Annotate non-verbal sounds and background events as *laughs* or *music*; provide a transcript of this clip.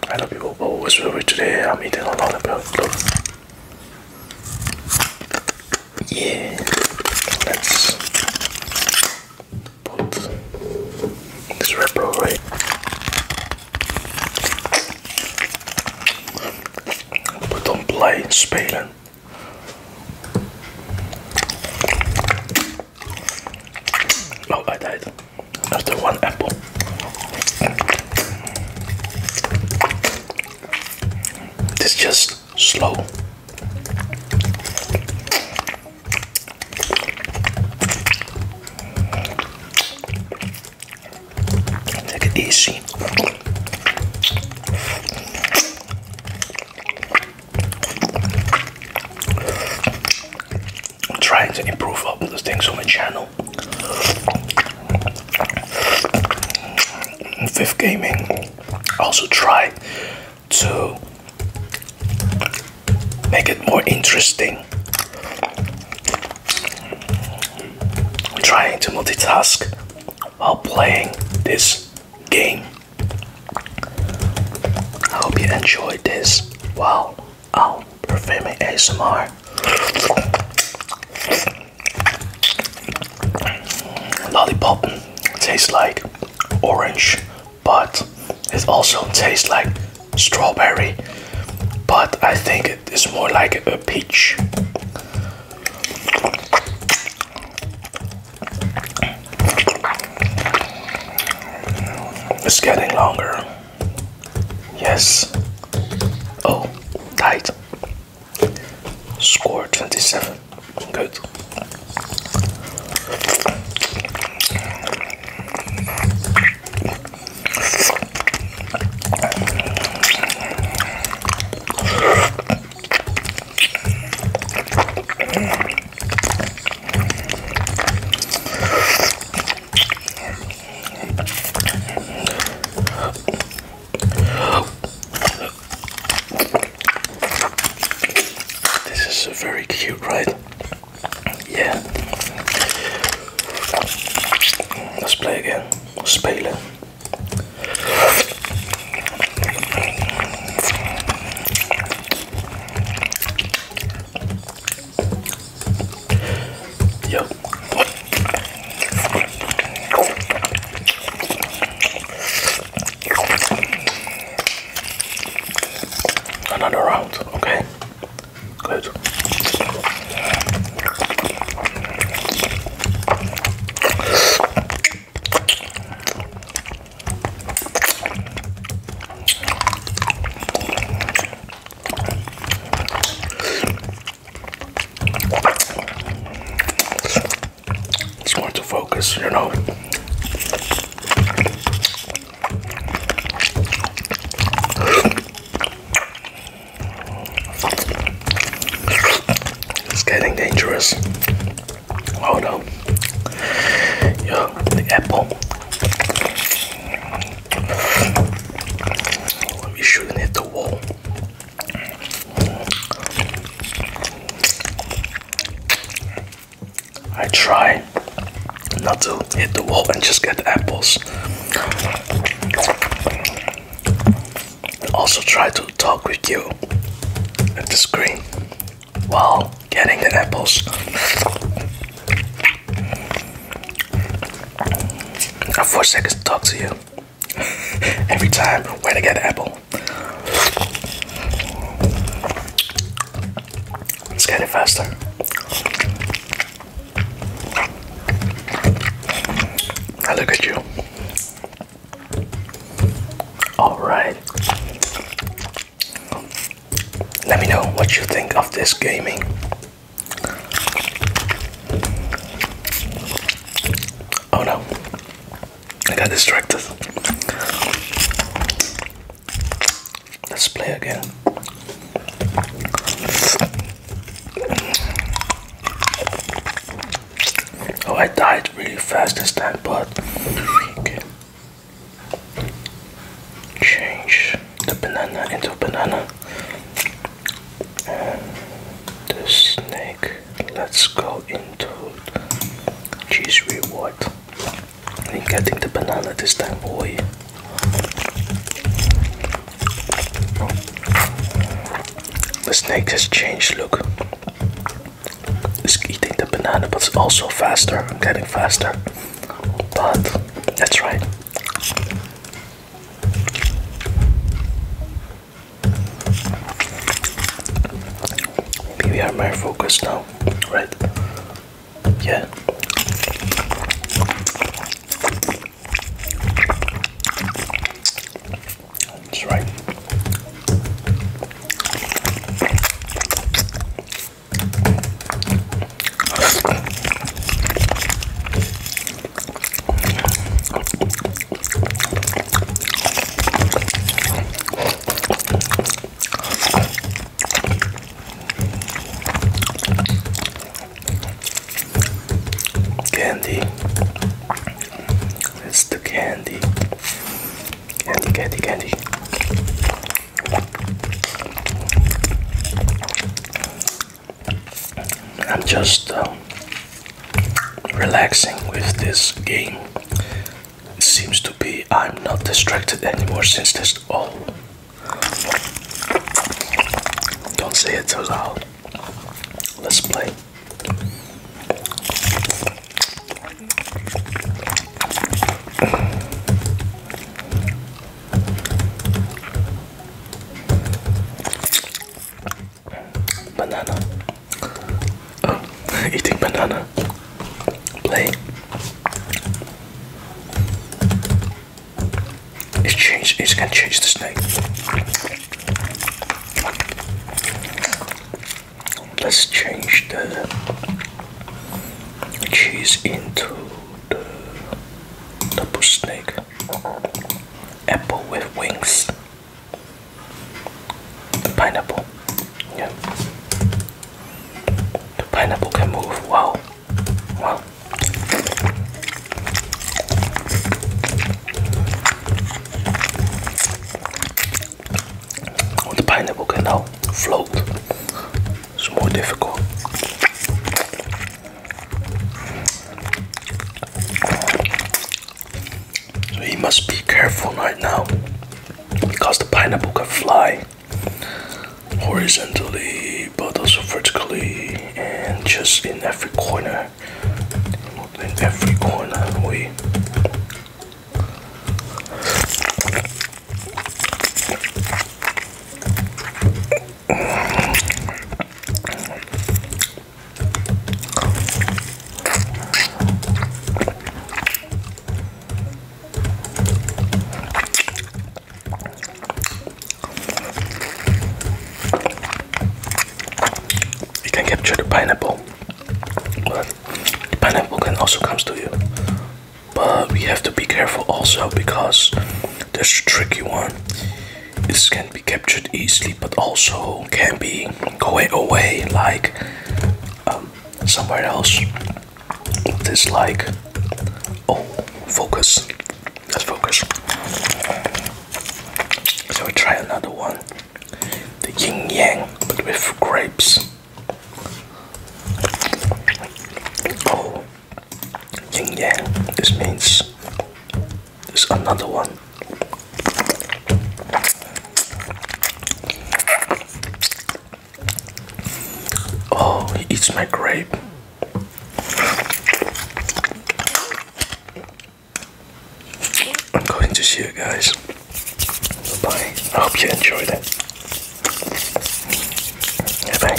Hello people, oh, what's up with today? I'm eating a lot of look. Yeah, let's put this wrapper away. Put on play spelen. Oh, I died. After one apple. It's just slow. Take it easy. I'm trying to improve up the things on my channel. Fifth Gaming also try to make it more interesting. I'm trying to multitask while playing this game. I hope you enjoyed this. Wow, Oh, perfuming ASMR. Lollipop tastes like orange, but it also tastes like strawberry. But I think it is more like a peach. It's getting longer. Yes. Oh, tight. Score 27. Good. This is a very cute, right? Yeah. Let's play again. Spelen. Yep. Another round, okay. Good. It's going to focus, you know. It's getting dangerous. Oh no. Yo, the apple. Let me shoot and hit the wall. I try not to hit the wall and just get the apples. Also try to talk with you at the screen while getting the apples i four seconds to talk to you *laughs* every time when I get apple. Let's get it faster. Now look at you. All right. Let me know what you think of this gaming. Oh no, I got distracted. Let's play again. Oh, I died really fast this time, but okay. change the banana into banana. the snake, let's go into cheese reward. I'm getting the banana this time, boy. The snake has changed. Look, it's eating the banana, but it's also faster. I'm getting faster, but that's right. Maybe I'm focus now, right? Yeah. That's right. Candy. It's the candy. Candy, candy, candy. I'm just uh, relaxing with this game. It seems to be I'm not distracted anymore since this Oh. Don't say it too loud. Let's play. Banana. Oh, *laughs* eating banana. Play. It's changed. It's gonna change the snake. Let's change the cheese into the double snake. Apple with wings. pineapple. Yeah. The pineapple can move. Wow. Wow. the pineapple can now float. It's more difficult. So he must be careful right now because the pineapple can fly horizontally but also vertically and just in every corner. In every corner we you can capture the pineapple, but the pineapple can also comes to you. But we have to be careful also because there's a tricky one. This can be captured easily, but also can be going away, like um, somewhere else. This like oh, focus. Let's focus. So we try another one. The yin yang, but with grapes. Oh, Yin This means there's another one. Oh, he eats my grape. I'm going to see you guys. Bye I hope you enjoyed it. bye.